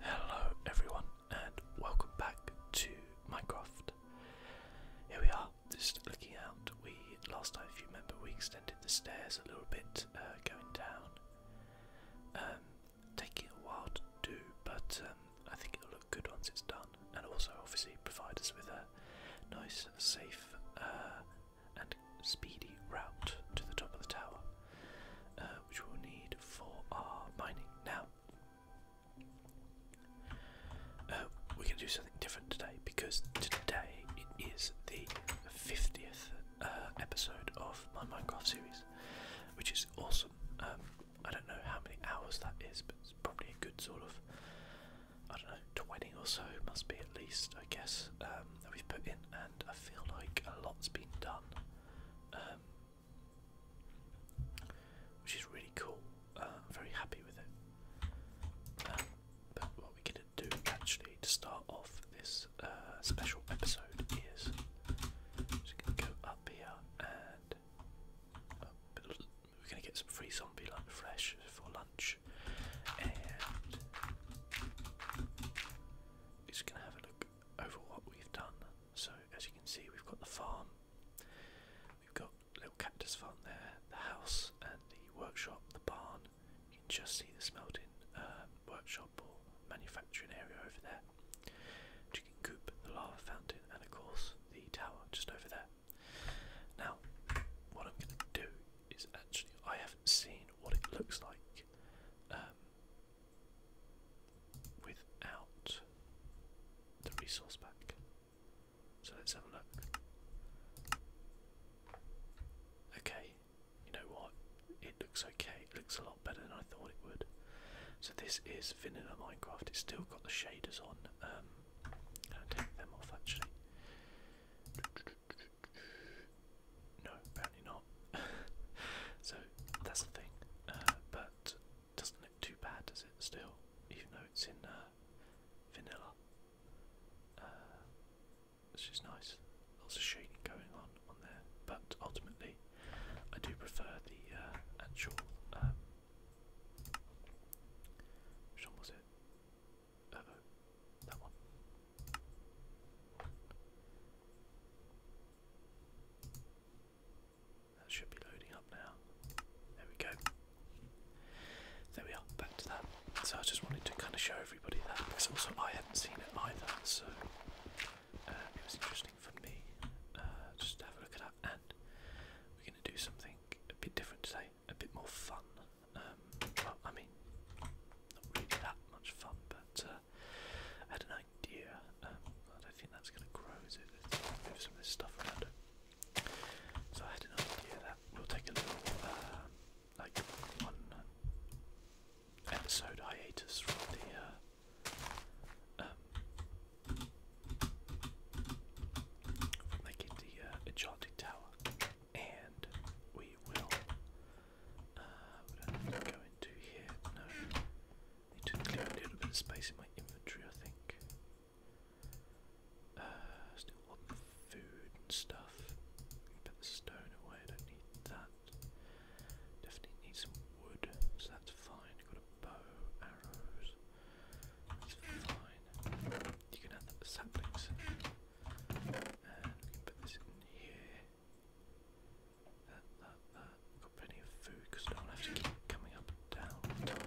Hello everyone and welcome back to Minecraft. Here we are, just looking out. We last time if you remember we extended the stairs a little bit uh, going down. Um, taking a while to do, but um, I think it'll look good once it's done and also obviously provide us with a nice safe uh, and speedy route to the top of the tower. Uh, which we'll need for our mining. Now, uh, we're do something different today because today it is the 50th uh, episode of my Minecraft series, which is awesome. Um, I don't know how many hours that is, but it's probably a good sort of, I don't know, 20 or so, must be at least, I guess, um, that we've put in, and I feel like a lot's been done. Um, which is really cool. Uh, I'm very happy with it. Um, but what we're going to do actually to start off this uh, special episode is I'm going to go up here and we're going to get some free zombie lunch fresh for lunch and we're just going to have a look over what we've done. So as you can see, we've got the farm, we've got little cactus farm there, the house and the workshop, the barn. You can just see the smelting uh, workshop or manufacturing area over there. You can coop the lava fountain and of course the tower just over there. Now, what I'm going to do is actually I haven't seen what it looks like. Um, without the resource pack. So let's have a look. Okay, you know what? It looks okay. It looks a lot better than I thought it would. So this is vanilla Minecraft. It's still got the shaders on. Um, i take them off actually. No, apparently not. so that's the thing. Uh, but doesn't look too bad, does it? Still, even though it's in uh, vanilla, uh, it's just nice. Lots of shading going on on there. But ultimately, I do prefer the uh, actual. Um, which one was it? that one. That should be loading up now. There we go. There we are, back to that. So I just wanted to kind of show everybody that because also I hadn't seen it either, so uh, it was interesting for me uh, just have a look at that. And we're going to do something a bit different today, a bit more fun. Um, well, I mean, not really that much fun, but uh, I had an idea. Um, I don't think that's going to grow, Let's move some of this stuff around. So I had an idea that we'll take a little, uh, like, one episode hiatus from the, uh, um, making the uh, Enchanted Tower, and we will uh, i we do to here, no. Need to clear a little bit of space in my inventory, I think. Uh, still want food and stuff. Put the stone away, I don't need that. Definitely need some wood, so that's fine. Got a bow, arrows. That's fine. You can add the saplings. And put this in here got plenty of food I don't have to keep coming up down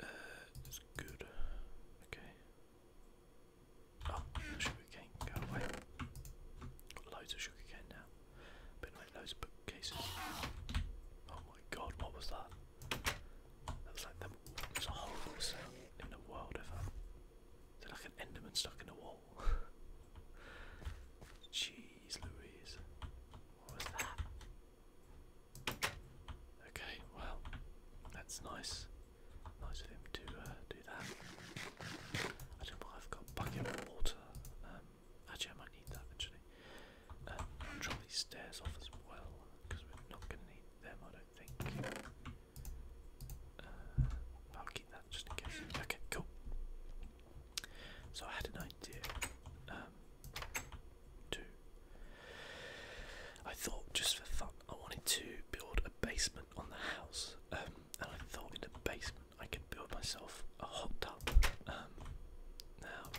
Uh, it's good. Okay. Oh, sugar cane, go away. Got loads of sugar cane now. Been like loads of bookcases. Oh my god, what was that? That was like the, it was a horrible sound in the world ever. Is it like an enderman stuck in a wall? Jeez Louise. What was that? Okay, well, that's nice. Nice of him to uh, do that. I don't know why I've got bucket of water. Um, actually, I might need that eventually. Um, drop these stairs off as well, because we're not going to need them, I don't think. Uh, Okay, cool. So I had an idea. Um, I thought just for fun, I wanted to build a basement on the house, um, and I thought in the basement I could build myself a hot tub. Um, now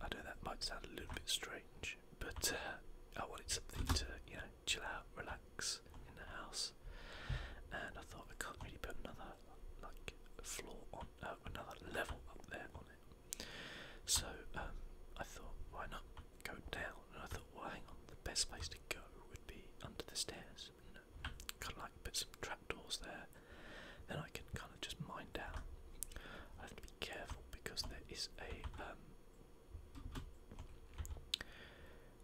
I know that might sound a little bit strange, but uh, I wanted something to you know chill out, relax in the house, and I thought I can't really put another like floor on uh, another level up there on it. So um, I thought, why not go down? And I thought, well, hang on, the best place to go would be under the stairs. You know, kind of like put some trapdoors there. Then I can kind of just mine down. I have to be careful because there is a um,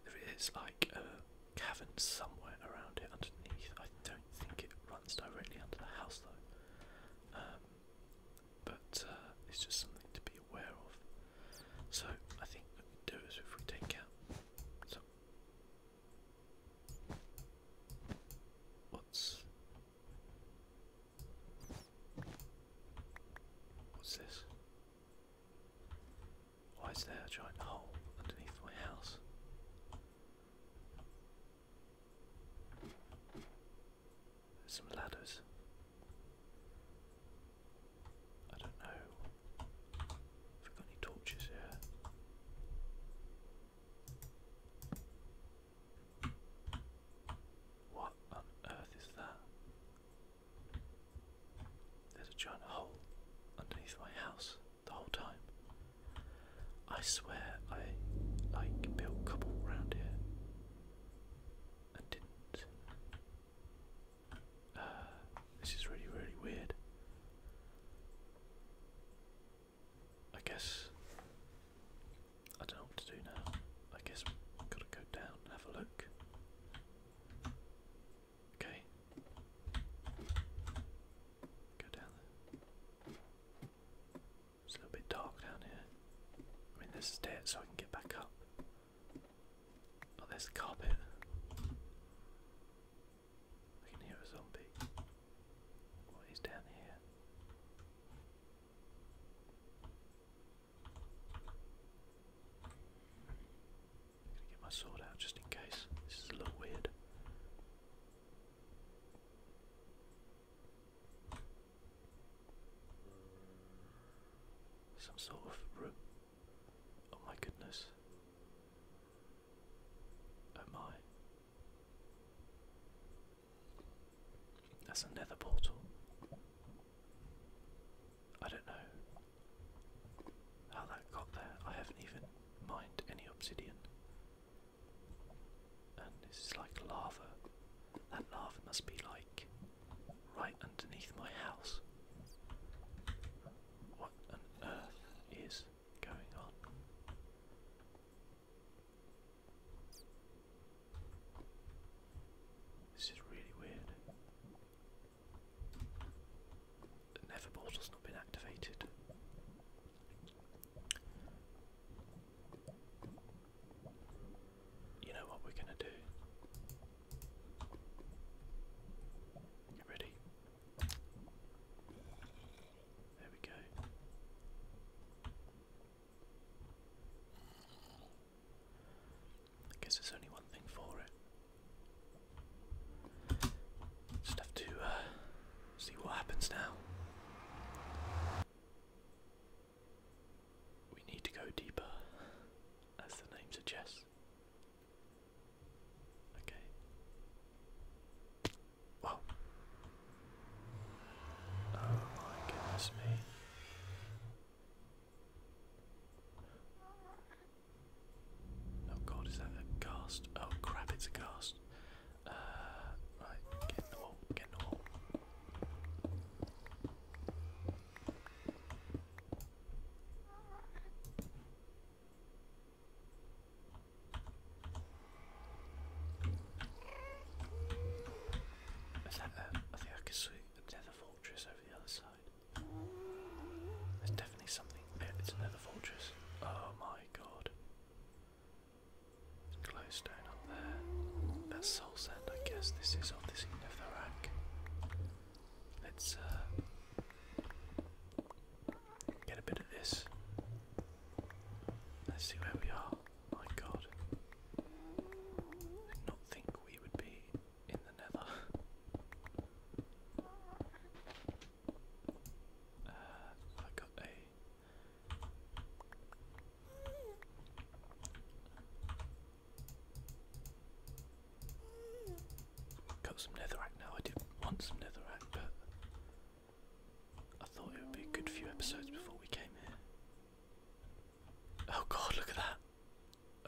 there is like a cavern somewhere around it underneath. I don't think it runs directly under the house though. Um, but uh, it's just something to be aware of. So I think we do is if we take out what's what's this? Why is there a giant hole underneath my house? There's some ladders. I don't know. Have we any torches here? What on earth is that? There's a giant hole underneath my house the whole time. I swear I like built cobble round here and didn't. Uh, this is really, really weird. I guess I don't know what to do now. I guess we've got to go down and have a look. Okay. Go down there. It's a little bit dark down here. I mean, there's a stair so I can get back up. Oh, there's carpet. I can hear a zombie. What is down here? I'm gonna get my sword out just in case. This is a little weird. Some sort of room. Oh my goodness. Oh my. That's a nether portal. I don't know how that got there, I haven't even mined any obsidian. And this is like lava. That lava must be like right underneath my house. What on earth is going on? This is really weird. Never portal's not been activated. You know what we're gonna do? You ready? There we go. I guess there's only one thing for it. Just have to uh, see what happens now. We need to go deeper, as the name suggests. Okay. Well. Oh my goodness me. Oh god, is that a ghast? Oh crap, it's a ghost. Uh, right, get in the wall, get in the wall. Is that a, um, I think I can see another fortress over the other side. It's another fortress. Oh my god. Glowstone up there. That's soul sand, I guess. This is of the rack. Let's uh, get a bit of this. Let's see where we are. My god. did not think we would be in the nether. Uh, I got a. Got some netherrack now. I didn't want some netherrack, but I thought it would be a good few episodes before we came here. Oh god, look at that!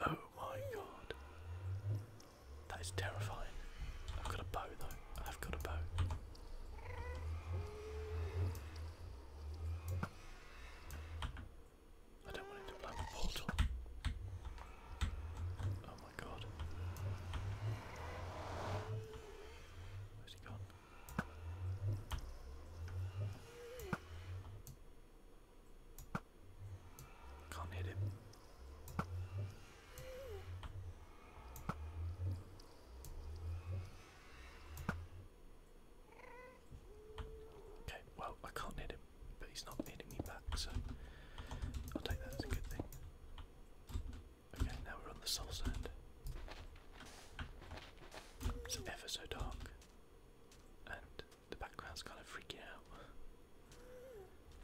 Oh my god. That is terrifying. I've got a bow though. I've got a bow. I don't want it to blow up portal. Oh my god. Where's he gone? Can't hit him. Okay, well, I can't hit him, but he's not hitting me back, so I'll take that as a good thing. Okay, now we're on the soul It's ever so dark, and the background's kind of freaking out.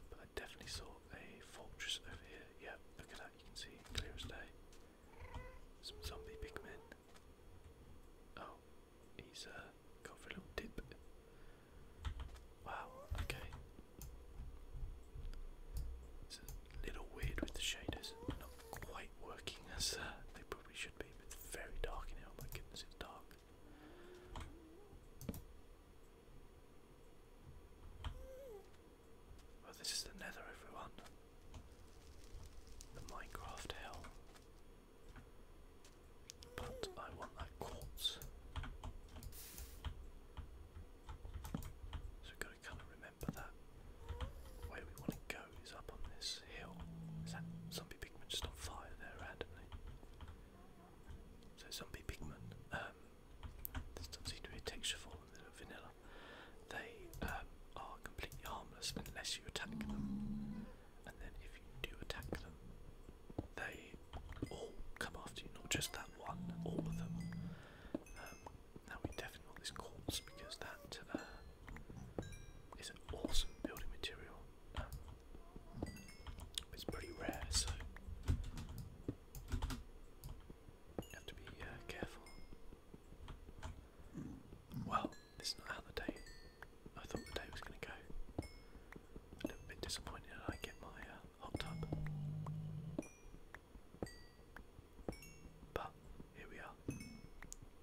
But I definitely saw a fortress over here. Yeah, look at that, you can see clear as day. Some zombie big men. Oh, he's uh, gone for a little dip. Wow, okay. It's a little weird with the shaders, not quite working as uh, they probably should be, but it's very dark in here. Oh my goodness, it's dark. Oh, this is the nether, everyone. The Minecraft hell. But I want that quartz. So we've got to kind of remember that. Where we want to go is up on this hill. Is that zombie pigment just on fire there randomly? So zombie pigment, um, this doesn't seem to be a texture form of vanilla. They um, are completely harmless unless you attack them. And then if you do attack them, they all come after you, not just that one, all of them. Um, now we definitely want this quartz because that uh, is an awesome building material. it's pretty rare, so have to be uh, careful. Well, this is not how the day I thought the day was going to go. A little bit disappointed I get my uh, hot tub. But here we are.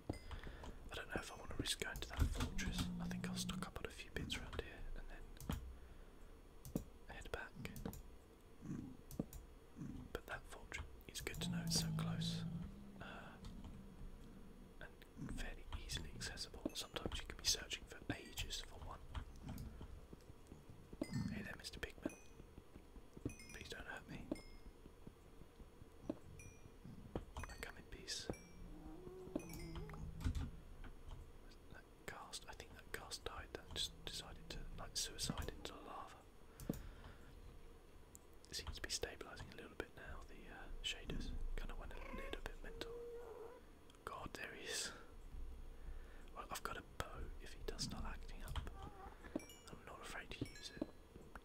I don't know if I want to risk going to that fortress. I think I'll stick up on a few bits around here and then head back. But that fortune is good to know, it's so close uh, and fairly easily accessible. Sometimes you can be searching for ages for one. Hey there, Mr. Pigman. Please don't hurt me. I come in peace. Cast, I think that cast died, that just decided to like suicide into the lava. It seems to be stabilising a little bit now, the uh, shaders kind of went a little bit mental. God, there he is. Well, I've got a bow if he does start acting up. I'm not afraid to use it.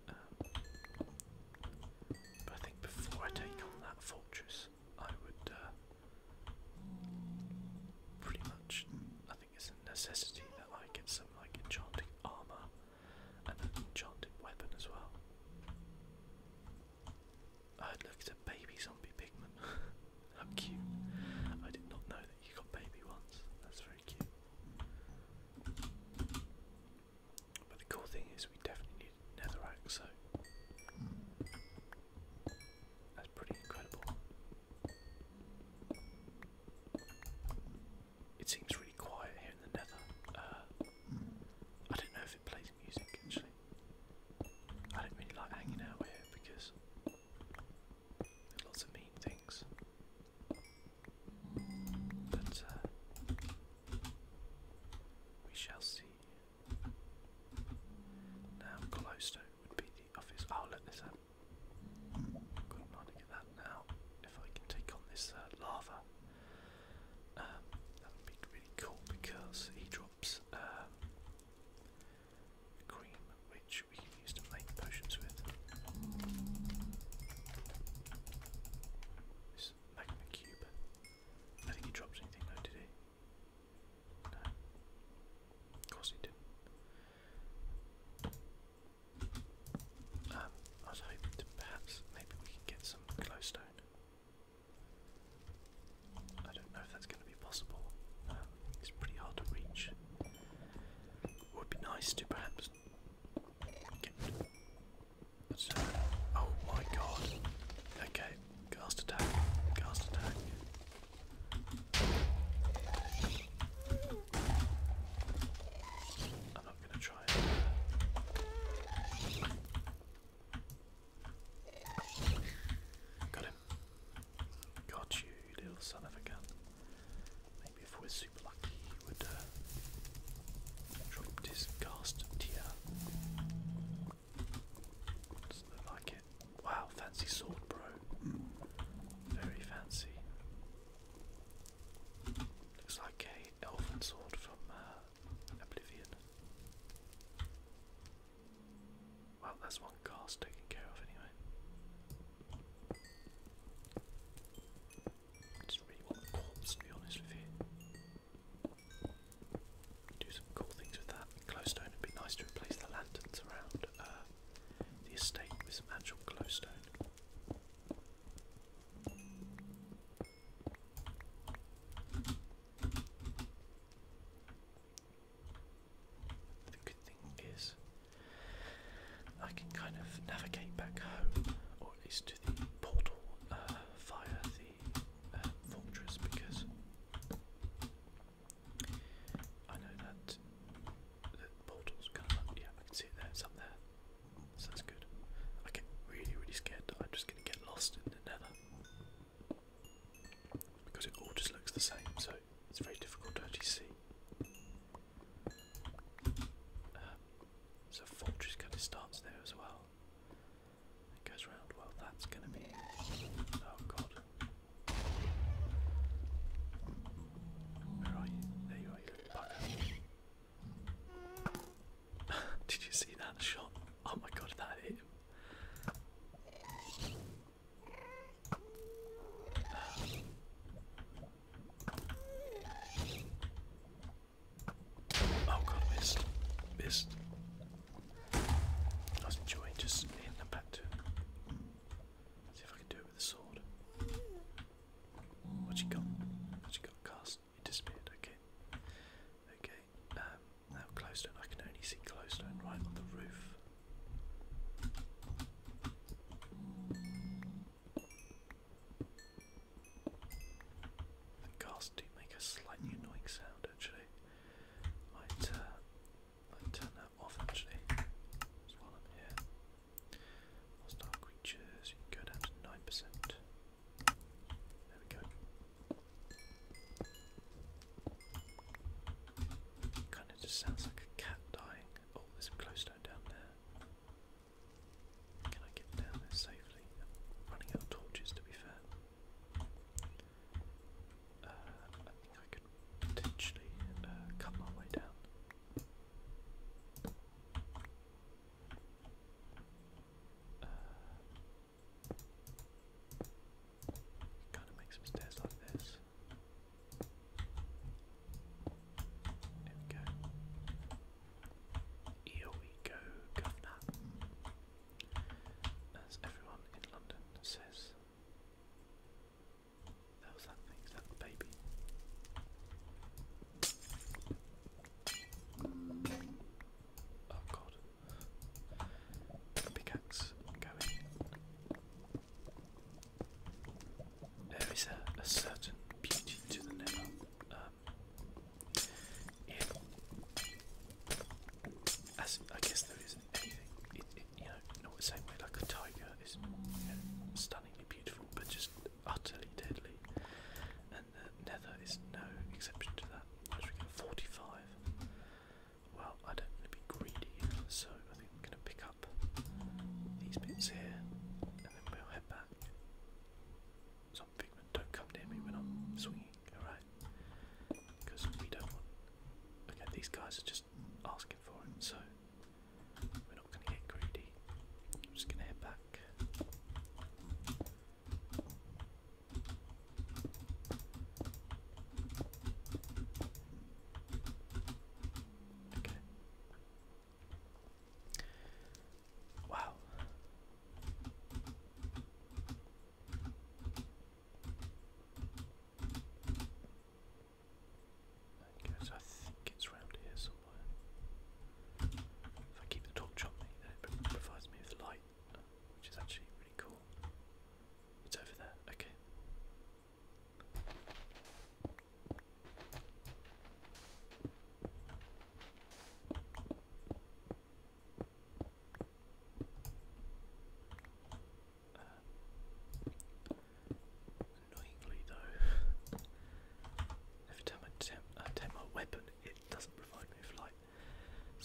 Um, but I think before I take on that fortress, I would uh, Pretty much, I think it's a necessity that I get some like enchanted armor and an enchanted weapon as well. I look at a baby zombie pigman. How cute! I did not know that you got baby ones. That's very cute. But the cool thing is, we definitely need netherrack, so pretty incredible. It seems really quiet here in the nether. Uh, I don't know if it plays music actually. I don't really like hanging out here because there's lots of mean things. But uh, we shall see. Now close to would be the obvious. I'll let this out. Um, Good morning at that now. If I can take on this uh, lava, um, that would be really cool because he drops uh, cream, which we can use to make potions with. This magma cube. I think he dropped anything though, did of course he didn't. Um, I was hoping to perhaps maybe we can get some glowstone. I don't know if that's going to be possible. Um, it's pretty hard to reach. would be nice to perhaps uh, oh my god. Okay, cast attack, cast attack. I'm not going to try it. Got him. Got you, little son of a gun. Maybe if we're super lucky, he would uh, drop this cast Wow, fancy sword, bro. Very fancy. Looks like a elven sword from uh, Oblivion. Well, that's one cast taken care of anyway. I just really want the corpse, to be honest with you. Do some cool things with that. Glowstone would be nice to replace the lanterns around uh, the estate with some actual glowstone. The good thing is, I can kind of navigate back home, or at least to the portal uh, via the uh, fortress because I know that the portal's coming up. Yeah, I can see it there. It's up there. So that's good. I get really, really scared I'm just going to get lost in the nether. Because it all just looks the same, so it's very difficult to actually see. Um, so fortress kind of starts there as well. It goes round. Well, that's going to be. Oh god. Did you see that shot? Oh my god, that hit Oh god, missed. Missed. was enjoying just hitting them back to see if I can do it with the sword. What you got? What you got? Cast. It disappeared. Okay. Okay. Um, now glowstone. I can only see glowstone right on the roof. The gas do make a slightly annoying sound actually. Might, uh, might that off actually. while I'm here. Hostile creatures, you go down to 9%. There we go. Kind of just sounds like a cat dying. Oh, there's a glowstone down there. Can I get down there safely? running out torches to be fair. I think I could potentially uh, cut my way down. kind of make some stairs like this. There we go. Here we go, governor. As everyone in London says. That was that thing, baby? Oh god. Pickaxe going. There is a, certain beauty to the never. Um, yeah. As I guess there is teeth, you know, not the same way like a tiger is stunningly beautiful but just utterly deadly. And the nether is no exception to that. As we get 45. Well, I don't want to be greedy, so I think I'm going to pick up these bits here and then we'll head back. Some pigment, don't come near me when I'm swinging, alright? Because we don't want. Okay, these guys are just asking for it, so we're not going to get greedy. I'm just going to head back. Okay. Wow. There I think it's round here somewhere. If I keep the torch on then it provides me with light, which is actually really cool. It's over there. Okay annoyingly though, every time I attempt, I uh, attempt my weapon, it doesn't provide me with light.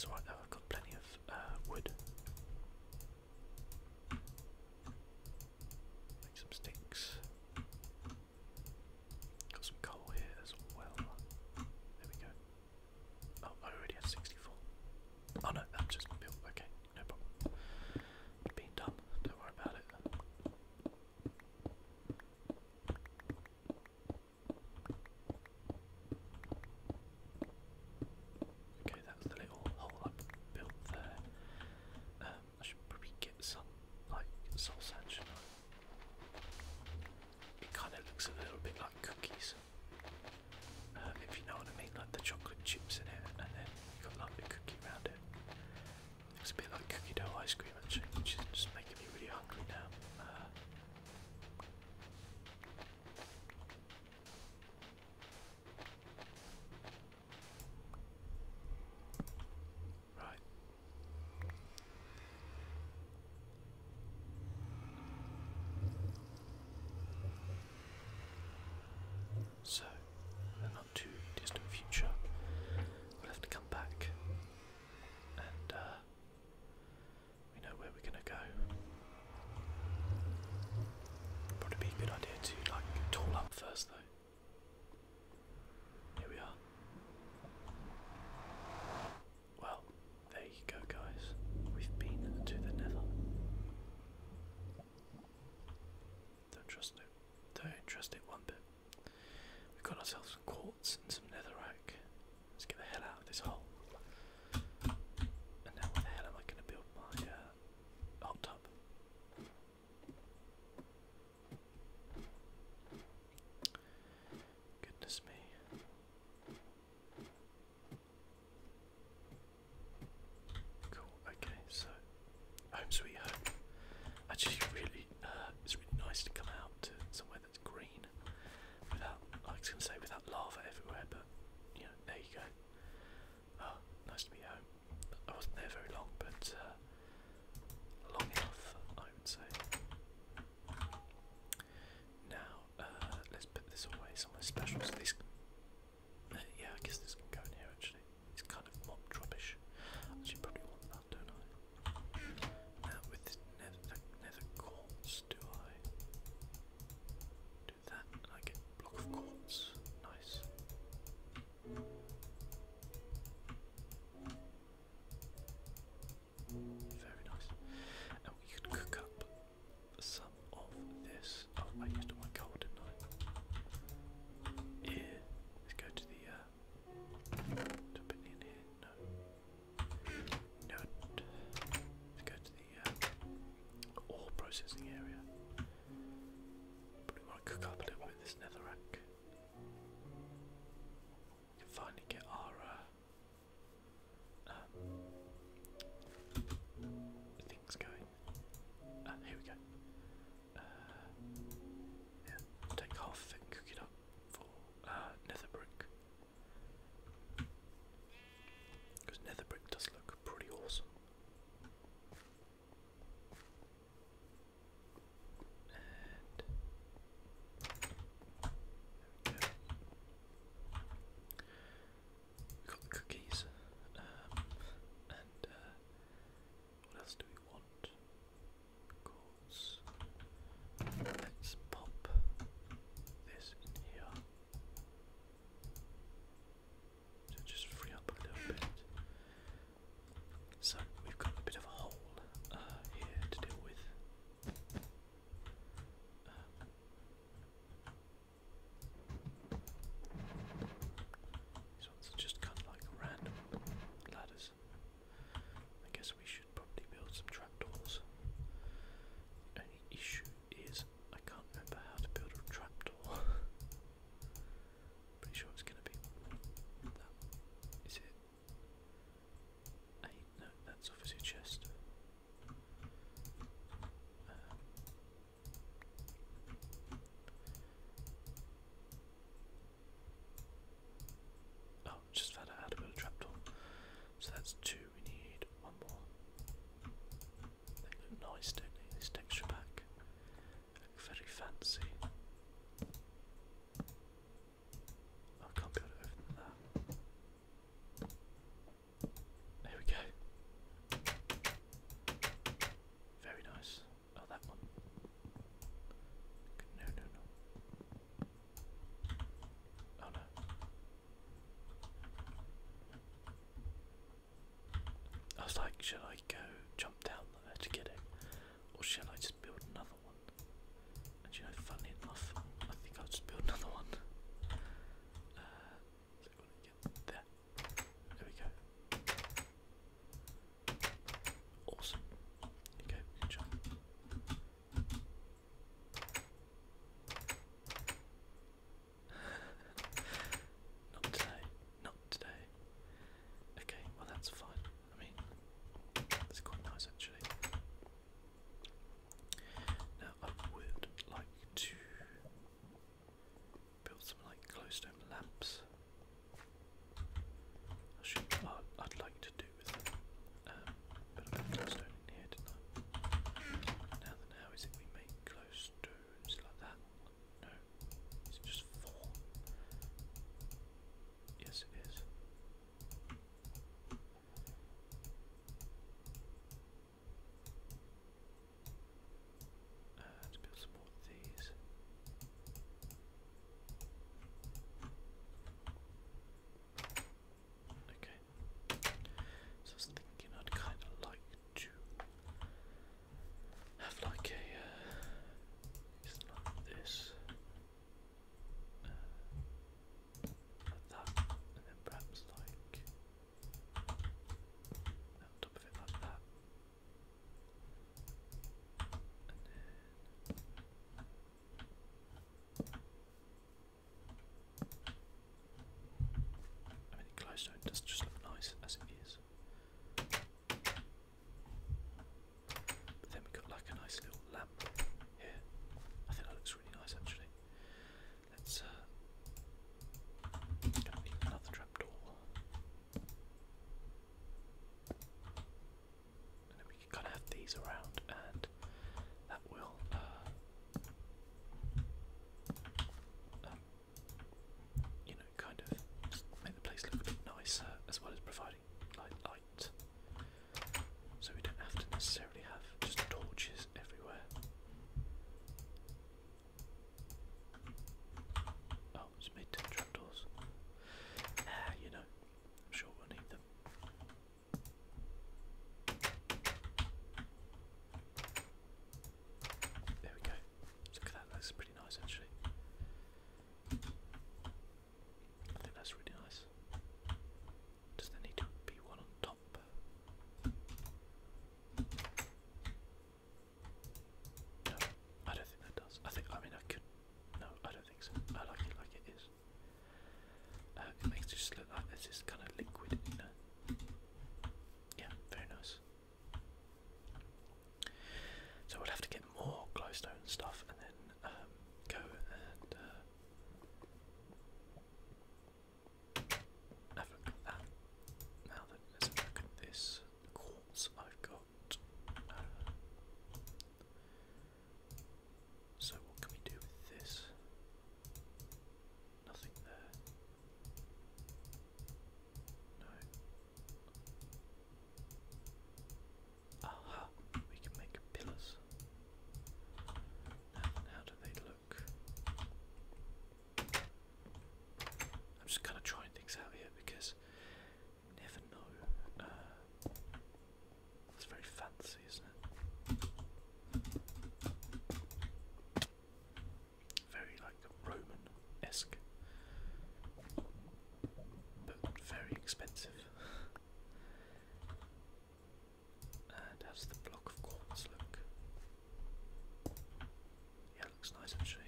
I've got plenty of uh, wood. Make some sticks. Got some coal here as well. There we go. Oh, I already have 64. Oh no, I'm just built. Okay, no problem being dumb. Don't worry about it. Okay, that's the little hole I built there. Um, I should probably get some, like, soul It kind of looks a little bit like cookies, uh, if you know what I mean, like the chocolate chips in it, and then you've got like the cookie round it's a bit like cookie dough ice cream which is just making me really hungry now. Uh. Right so not too distant future, we'll have to come back and uh, we know where we're going to go. Probably be a good idea to like tool up first though. Here we are. Well, there you go, guys. We've been to the Nether. Don't trust it. Don't trust it one bit. We've got ourselves some quartz and some netherrack. Let's get the hell out of this hole. And now where the hell am I going to build my uh, hot tub? Goodness me. Cool. Okay, so home sweet home. Actually, really, uh, it's really nice to come out to somewhere that's green, without I was gonna say without lava everywhere, but you there you go. Oh, nice to be home. I wasn't there very long, but uh, long enough, I would say. Now, uh, let's put this away somewhere special. Uh, yeah, I guess this can go in here actually. It's kind of mopped rubbish. I probably want that, don't I? Now with nether, nether quartz, do I do that and I get block of quartz? Nice. Very nice. And we could cook up some of this. Oh, let's. go to the. Uh, uh, ore processing area. we want to cook up a little bit this netherrack. We can finally get our. Uh, um, things going. Uh, here we go. Uh, yeah, take half and cook it up for uh, Netherbrick. Because Netherbrick does look pretty awesome. we have got the cookies um, and what else do we want? Let's pop this in here to just free up a little bit. So we've got a bit of a hole uh, here to deal with. Um, these ones are just kind of like random ladders. I guess we should probably build some trapdoors. The only issue is I can't remember how to build a trapdoor. Pretty sure it's gonna be that. Is it? Eight? No, that's obviously chest. Um, Oh, just found out how to build a trapdoor. So that's two. We need one more. They look nice, don't they? This texture pack. very fancy. I can't be able that. There we go. Very nice. Oh, that one. No, no, no. Oh no. I was like, should I go jump down there to get it? Or shall I just build another one? And you know, funnily enough, I think I'll just build another one. Uh, there we go. Awesome. you go. Good job. Not today. Not today. Okay, well that's fine. I mean, that's quite nice actually. Now I would like to Build some like closed home lamps. I should, uh, I'd like to do with them. Um, but I put glowstone in here, didn't I? Now then, how is it we make glowstones like that? No, is it just four? Yes, it is. Uh, to build some more of these. Okay, so I was thinking I'd kind of like to have like a uh, something like this, uh, like that, and then perhaps like on like that. I mean, the glowstone does just look nice as it is. But then we've got like a nice little lamp here. I think that looks really nice actually. Let's uh, another trapdoor then we can kind of have these around, and that will. Uh, um, you know, kind of make the place look a bit nicer, as well as providing light, light, so we don't have to necessarily have just torches everywhere. Oh, Oh, it's made Ah, you know, sure we'll need them. There we go. Look at that, that's pretty nice actually. I think that's really nice. Does there need to be one on top? No, I don't think that does. I think, I mean, I could. No, I don't think so. I like it like it is. Uh, it makes it just look like there's this kind of liquid Yeah, very nice. So we'll have to get more glowstone stuff and then um, go and uh, that. Now that let's look at this quartz I've got so, what can we do with this? Nothing there. No. Aha! We can make pillars. how do they look? I'm just kind of trying things out here because never know. it's uh, very fancy, isn't it? Very like Roman esque, but very expensive. and how's the block of quartz look? Yeah, looks nice actually.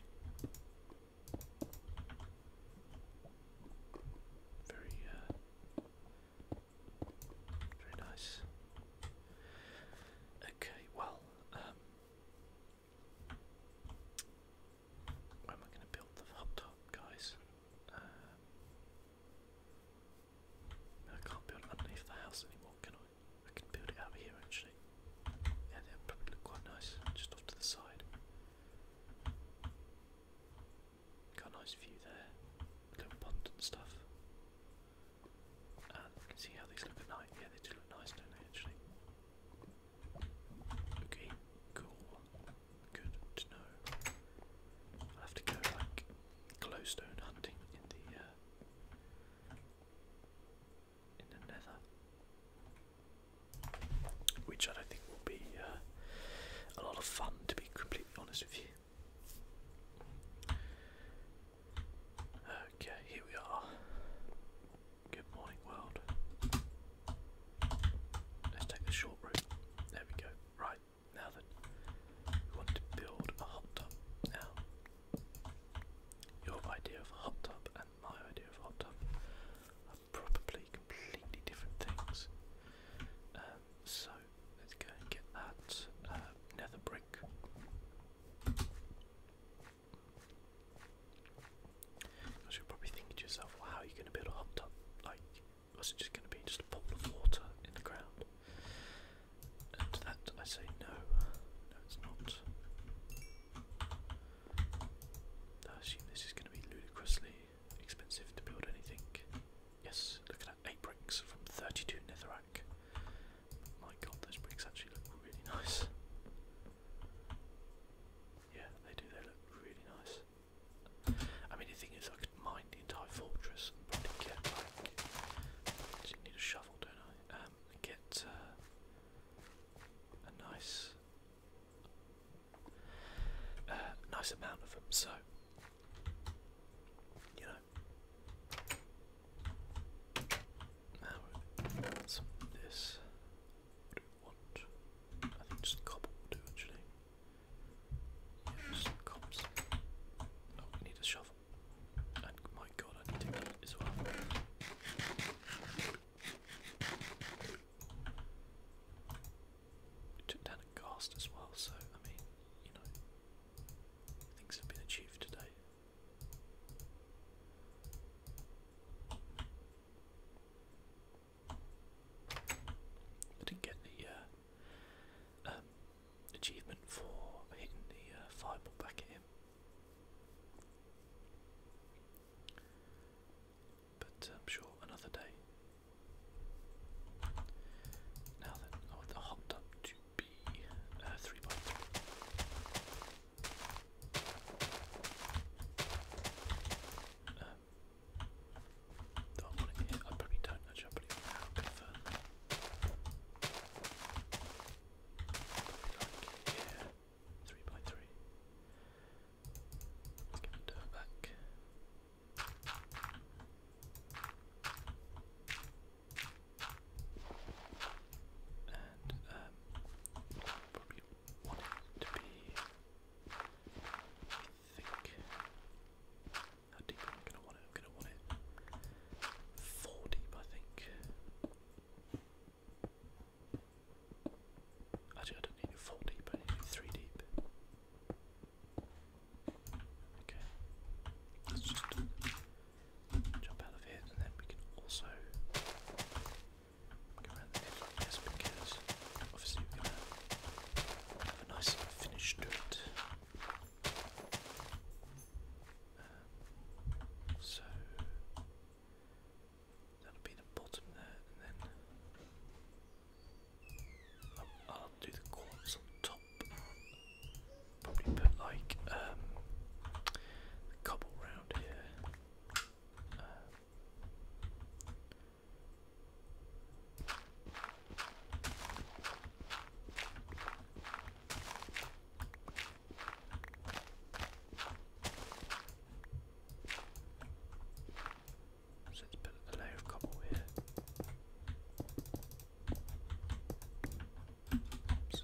Very, uh, very nice. Okay, well, um, where am I going to build the top, guys? Uh, I can't build underneath the house anymore, can I? I can build it out here actually. Yeah, that would probably look quite nice, just off to the side. Got a nice view there, little pond and stuff. And see how these look at night. Yeah, they do look nice, don't they? Actually. Okay, cool. Good to know. I'll have to go like glowstone hunting in the uh, in the Nether which I don't think will be uh, a lot of fun, to be completely honest with you. Okay, here we are. Good morning, world. Let's take the short route. There we go. Right, now then, we want to build a hot tub. Now, your idea of hot tub and my idea of hot tub probably completely different things. Um, so let's go and get that uh, brick. you're probably thinking to yourself, well, how are you going to build a hot tub? Like, was it just going to be just a pool of water in the ground? And that I say no, no, it's not. I assume this is going to be ludicrously expensive to build anything. Yes, looking at 8 bricks from 32 netherrack. My god, those bricks actually look really nice. Yeah, they do, they look really nice. I mean, the thing is, I could mine the entire fortress and probably get like. just need a shovel, don't I? Um, get uh, a nice uh, nice amount of them, so you know. Now some of this. do we I think just cobble will do actually. just cobs. Oh, we need a shovel. And my god, I need to get as well took down a ghast as well, so I mean, you know, things have been achieved today. I didn't get the uh, um, achievement for hitting the uh, fireball back at him but I'm um, sure another day. Now then, I oh, want the hot tub to be uh, three by three. do I want it I probably don't I probably want to go further. Probably like here. Three by 3 give it back. And um, probably want it to be I think how am gonna want it? I'm gonna want it four deep I think. I don't need four deep. I need three deep. Okay, let's just jump out of here, and then we can also go around the edge because obviously we're gonna have a nice finish to um, so. That'll be the bottom there, and then I'll, do the quartz on top. Probably put like um, cobble round here. So let's put a layer of cobble here. Oops.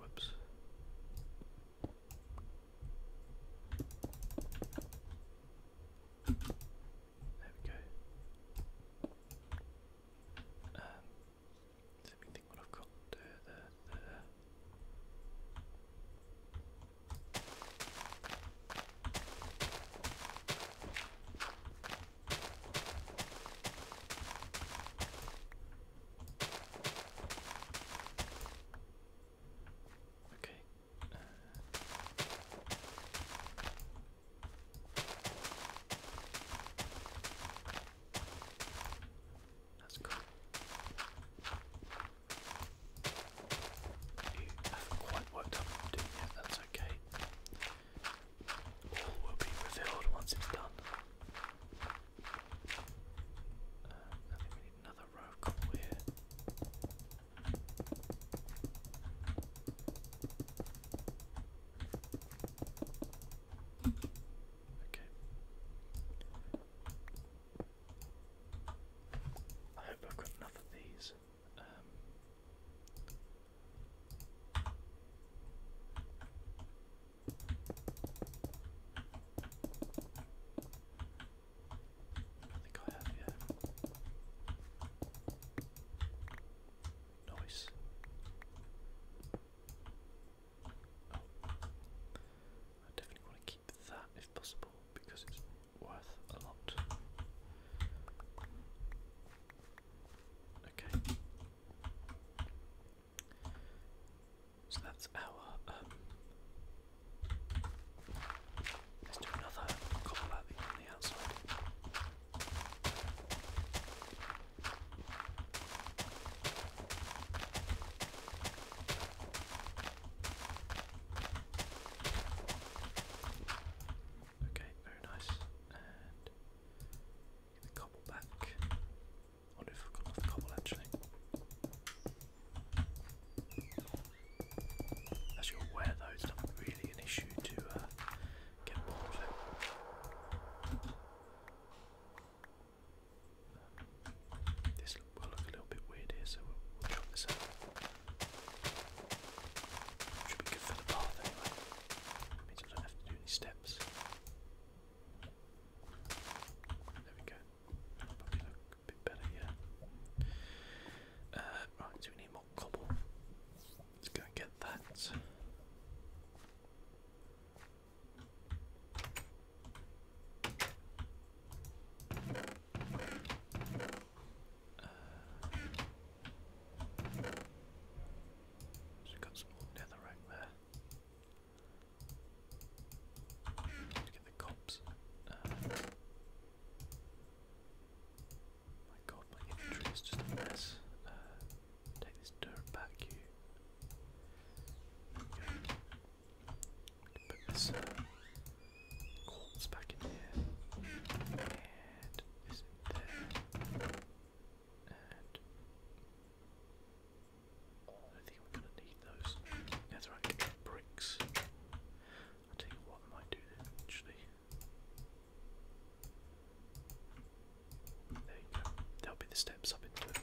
Whoops. There we go. Um, let me think what I've got. Okay. Uh. That's cool. You have quite worked out what that's okay. All will be revealed once it's done. I think we need another row call here. Okay. I hope I've got enough of these. Um, I think I have, yeah. Nice. Oh. I definitely want to keep that if possible because it's worth a lot. Okay. So that's our. Um, let's do another copper lobby on the outside. Okay, very nice. And the cobble back. wonder if we've got enough cobble actually. As you're aware though, it's not really an issue to uh, get more will look a little bit weird here, so we'll, we this out. Should be good for the path anyway. It means I to do any steps. There we go. bit better, yeah. Uh, right, so we need more cobble. Let's go and get that. Uh, so got some more netherrack there. get the cops. Uh, my god, my inventory is just a mess. Uh, take this dirt back, you. Put this uh, Quartz back in here. it there? Oh, I think we're gonna need those. That's right, bricks. i tell you what I might do then actually. There you go. That'll be the steps up into it.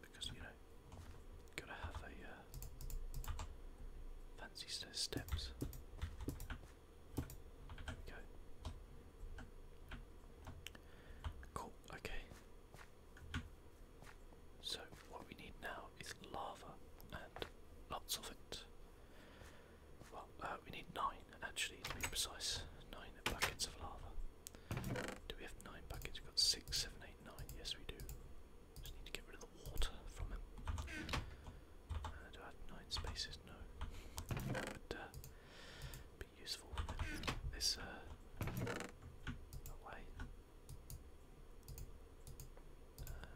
Because you know, gotta have a uh, fancy steps. There we go. Cool. Okay. So what we need now is lava and lots of it. Well, uh, we need nine actually to be precise. Nine buckets of lava. Do we have nine buckets? We've got six, seven, eight, nine. Yes, we do. Just need to get rid of the water from it. Uh, do I have nine spaces? No. That uh, be useful. This uh, I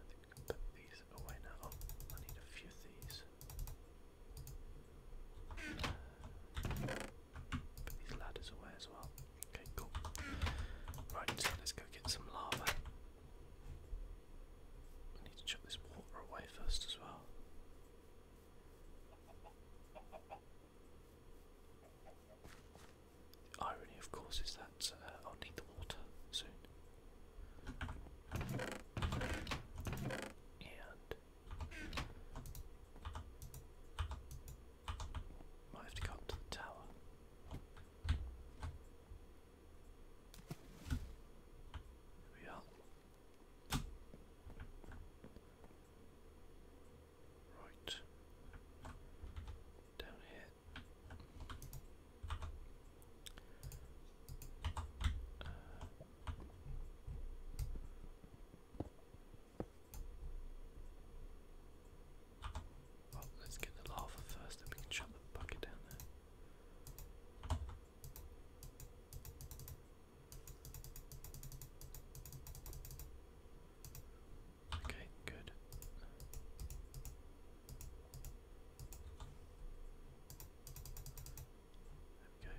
think we can put these away oh, now. Oh, I need a few of these. these ladders away as well. Okay, cool. Right, let's go get some lava. I need to chuck this water away first as well. irony, of course, is that uh, I'll need the water soon. And have to go to the tower. we are. Right. Down here. Uh, let's get the lava first, then we can shut the bucket down there. Okay, good. There we go.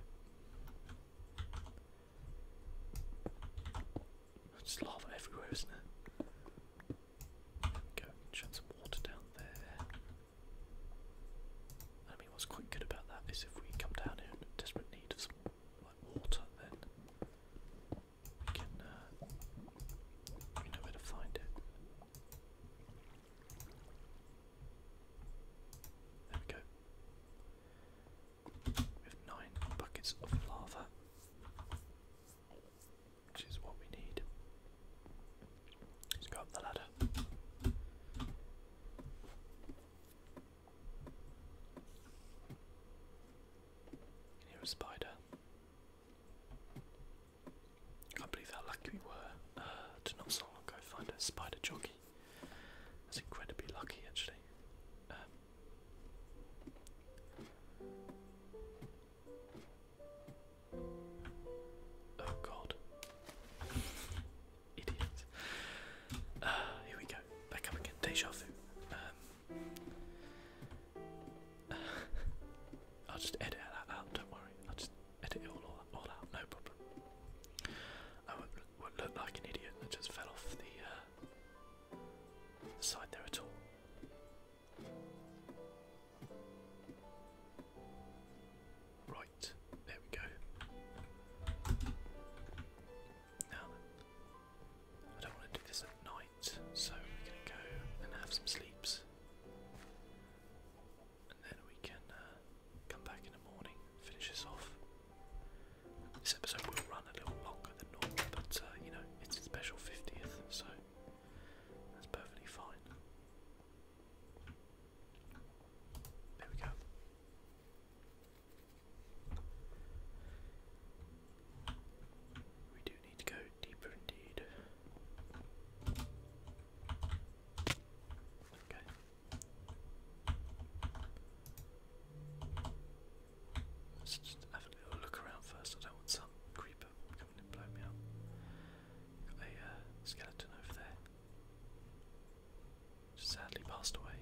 lava everywhere, isn't there? There we Shed some water down there. I mean, what's quite good about that is if we come down here desperate need of some like water, then we can uh, we know where to find it. There we go. We have nine buckets of lava, which is what we need. Let's the ladder. Can a spider. Can't believe how lucky we were uh, to not so long ago find a spider jockey. That's incredibly lucky, actually. Um, oh God! Idiot. Uh, here we go. Back up again. Deja um, I'll just edit that out. Don't worry. I'll just edit it all, all out, no problem. I will look, like an idiot that just fell off uh, the, side there at all. Right, there we go. Now I don't want to do this at night, so we're going to go and have some sleeps and then we can uh, come back in the morning, finish this off. This episode will run a little longer than normal, but uh, you know, it's a special 50th, so that's perfectly fine. There we go. We do need to go deeper indeed. Okay. Let's just have a little look around first. I don't want some creeper coming and blow me up. Got a uh, skeleton over there. sadly passed away.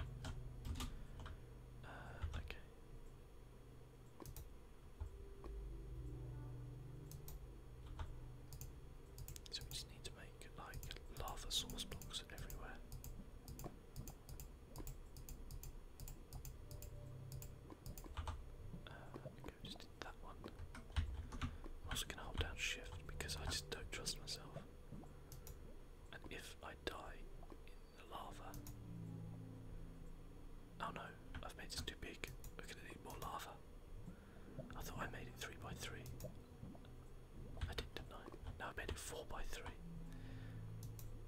Uh, okay. So we just need to make like lava source blocks everywhere. Uh, just did that one. I'm also gonna hold down shift because I just don't trust myself. And if I die in the lava, oh no, I've made this too big. We're gonna need more lava. I thought I made it three by three. I did, not know. No, I made it 4 by 3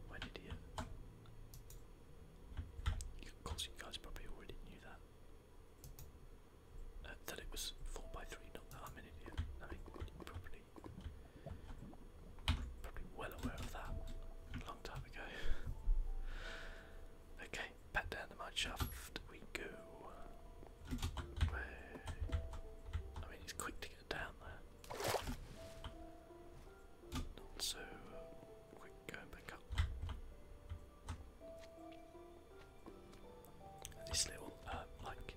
Where did he? Of course, you guys probably already knew that. Uh, that it was 4 by 3 not that I'm an idiot. I mean, probably, probably well aware of that a long time ago. okay, back down the mine shaft we go. I mean, he's quick to get down there. Not so uh, quick going back up. this little, um, like,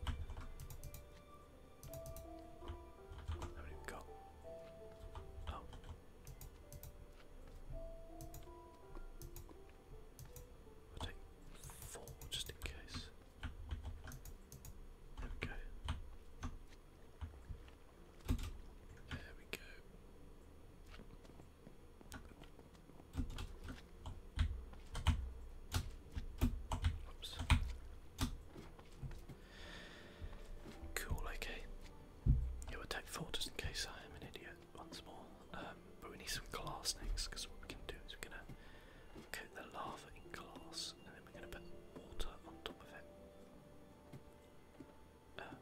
how many we Oh. I'll take four just in case. There There we go. Oops. Cool, okay. Yeah, will take four just in case I am an idiot once more. Um, but we need some glass next because what we can do is we're gonna coat the lava in glass, and then we're going to put water on top of it. Uh,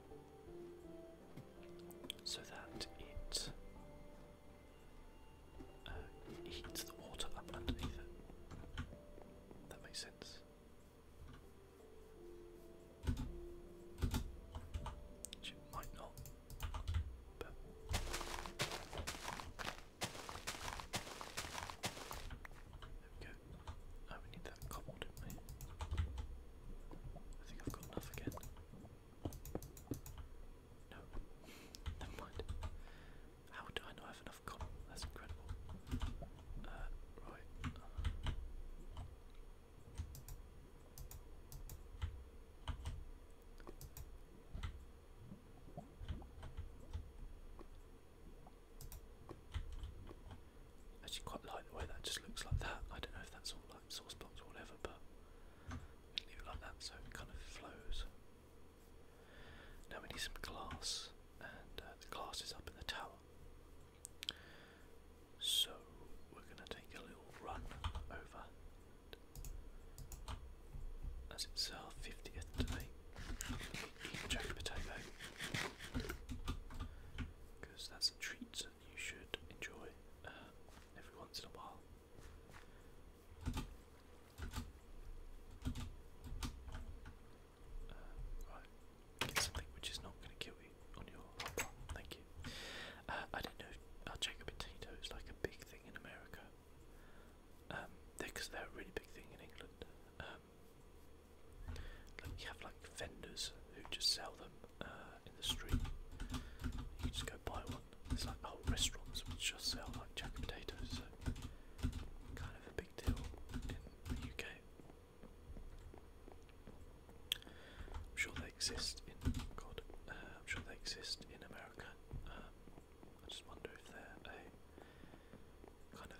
so that it uh, heats the water up underneath it. That makes sense. it might not, there we go. Oh, need that cobble, didn't we? I think I've got enough again. No, never mind. How do I not have enough cobble? That's incredible. Uh, right. Actually, quite like the way that just looks like that. I don't know if that's all like source box or whatever, but leave it like that so it kind of flows. Now we need some glass, and uh, the glass is up in the tower. So we're going to take a little run over as it's our 50th today, I'm going potato because that's a treat you should enjoy um, every once in a while. Uh, right, get something which is not going to kill you on your Thank you. Uh, I don't know. Our uh, jack potatoes like a big thing in America because um, they're, a really big thing in England. Um, you have like vendors who just sell them uh, in the street. You just go buy one. It's like whole restaurants which just sell like jack potatoes. kind of a big deal in the UK. I'm sure they exist in God. Uh, I'm sure they exist in America. Um, I just wonder if they're a kind of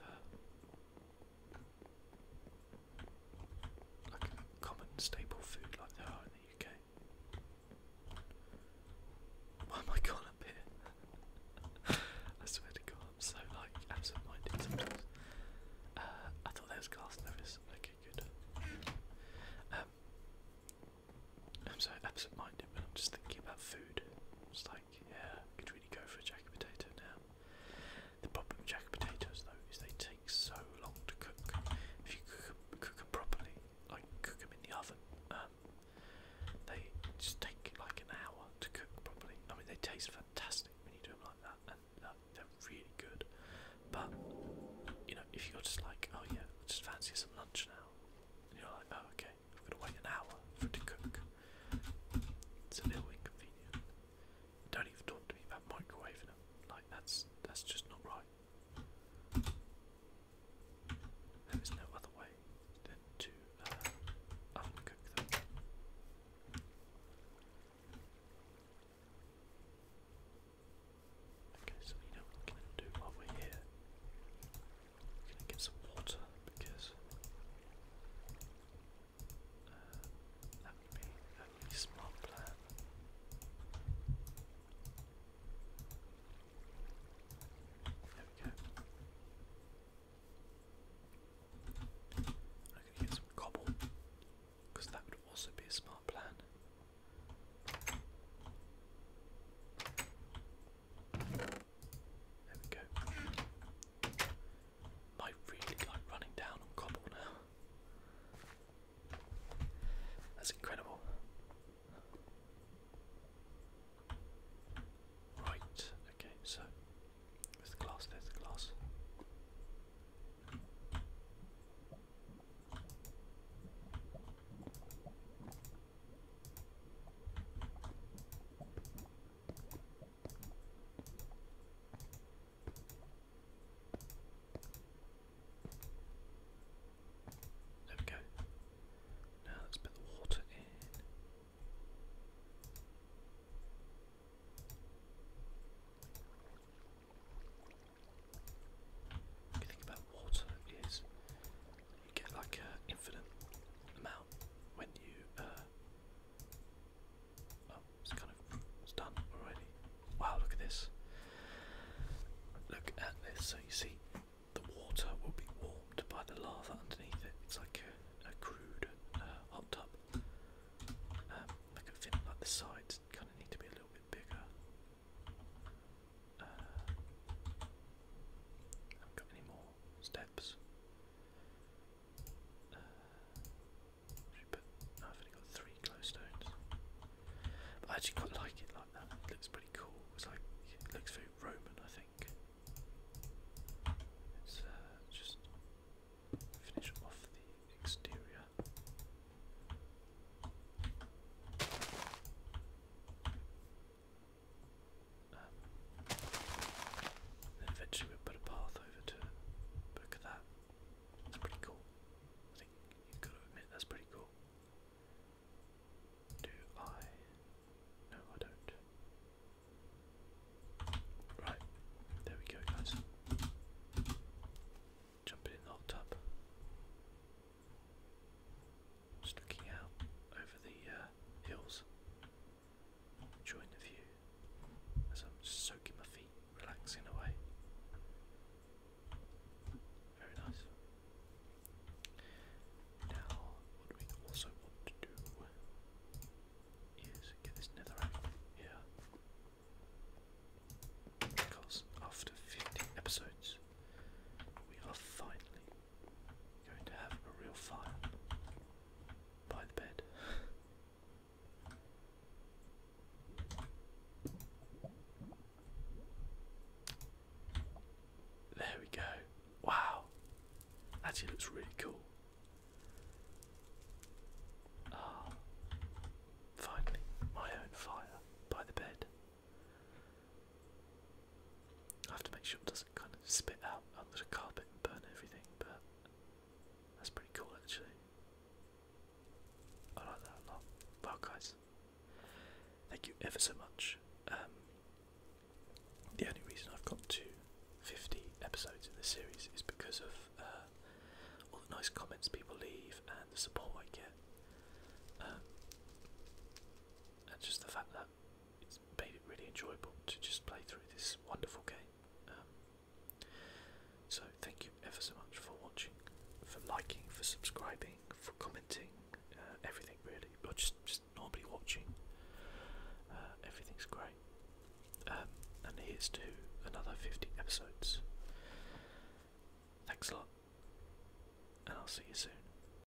a like common staple food like they are in the UK. Why am I gone up here? I swear to God, I'm so like absent-minded sometimes. Uh, I thought there was glass notice. Okay, good. Um, I'm so absent minded but I'm just thinking about food. It's like, yeah, I could really go for a jacket potato now. The problem with jacket potatoes though is they take so long to cook. If you cook, them properly, like cook them in the oven, um, they just take like an hour to cook properly. I mean, they taste fantastic when you do them like that, and they're really good. But you know, if you're just like, oh yeah, just fancy some lunch now, you're like, oh, okay, I've got to wait an hour for it to cook. It's a little inconvenient. Don't even talk to me about microwaving them. Like, that's, that's just not right. There is no other way than to uh, oven Okay, so we know what do while we're here. I'm gonna get some water because uh, that would be a smart plan. There we go. I'm gonna get some cobble because that would also be a smart plan. There we go. Might really like running down on cobble now. That's incredible. Right, okay, so there's the glass, there's the glass. There we go. Now let's put the water in. think about water is you get like an infinite amount when you. Uh... Oh, it's kind of it's done already. Wow, look at this. Look at this. So you see, the water will be warmed by the lava underneath it. It's like a, crude uh, hot tub. Um, look at thin, like the sides kind of need to be a little bit bigger. Uh, I have got any more steps. Uh, I've only got three glowstones. I actually quite like it like that. looks pretty cool. It's like looks very Roman, I think. Let's uh, just finish off the exterior then eventually we put a path over to look at that. That's pretty cool. I think you've got to admit that's pretty cool. Do I? No, I don't. Right, there we go, guys. Jumping in the hot tub sticking out over the uh, hills. Enjoying the view as I'm soaking my feet, relaxing away. Very nice. Now, what we also want to do is get this netherrack here. Because after 50 episodes, we are finally going to have a real fire by the bed. there we go. Wow. Actually looks really cool. Ah, finally, my own fire by the bed. I have to make sure it doesn't kind of spit out onto the carpet and burn everything, but that's pretty cool actually. I like that a lot. Well guys, thank you ever so much. Um, the only reason I've got to 50 episodes in the series is because of uh, all the nice comments people leave and the support I get. Um, and just the fact that it's made it really enjoyable to just play through this wonderful game. Um, so thank you ever so much for watching, for liking, for subscribing, for commenting, uh, everything really, or just just normally watching. Uh, everything's great. Um, and here's to another 50 episodes. Thanks a lot, and I'll see you soon.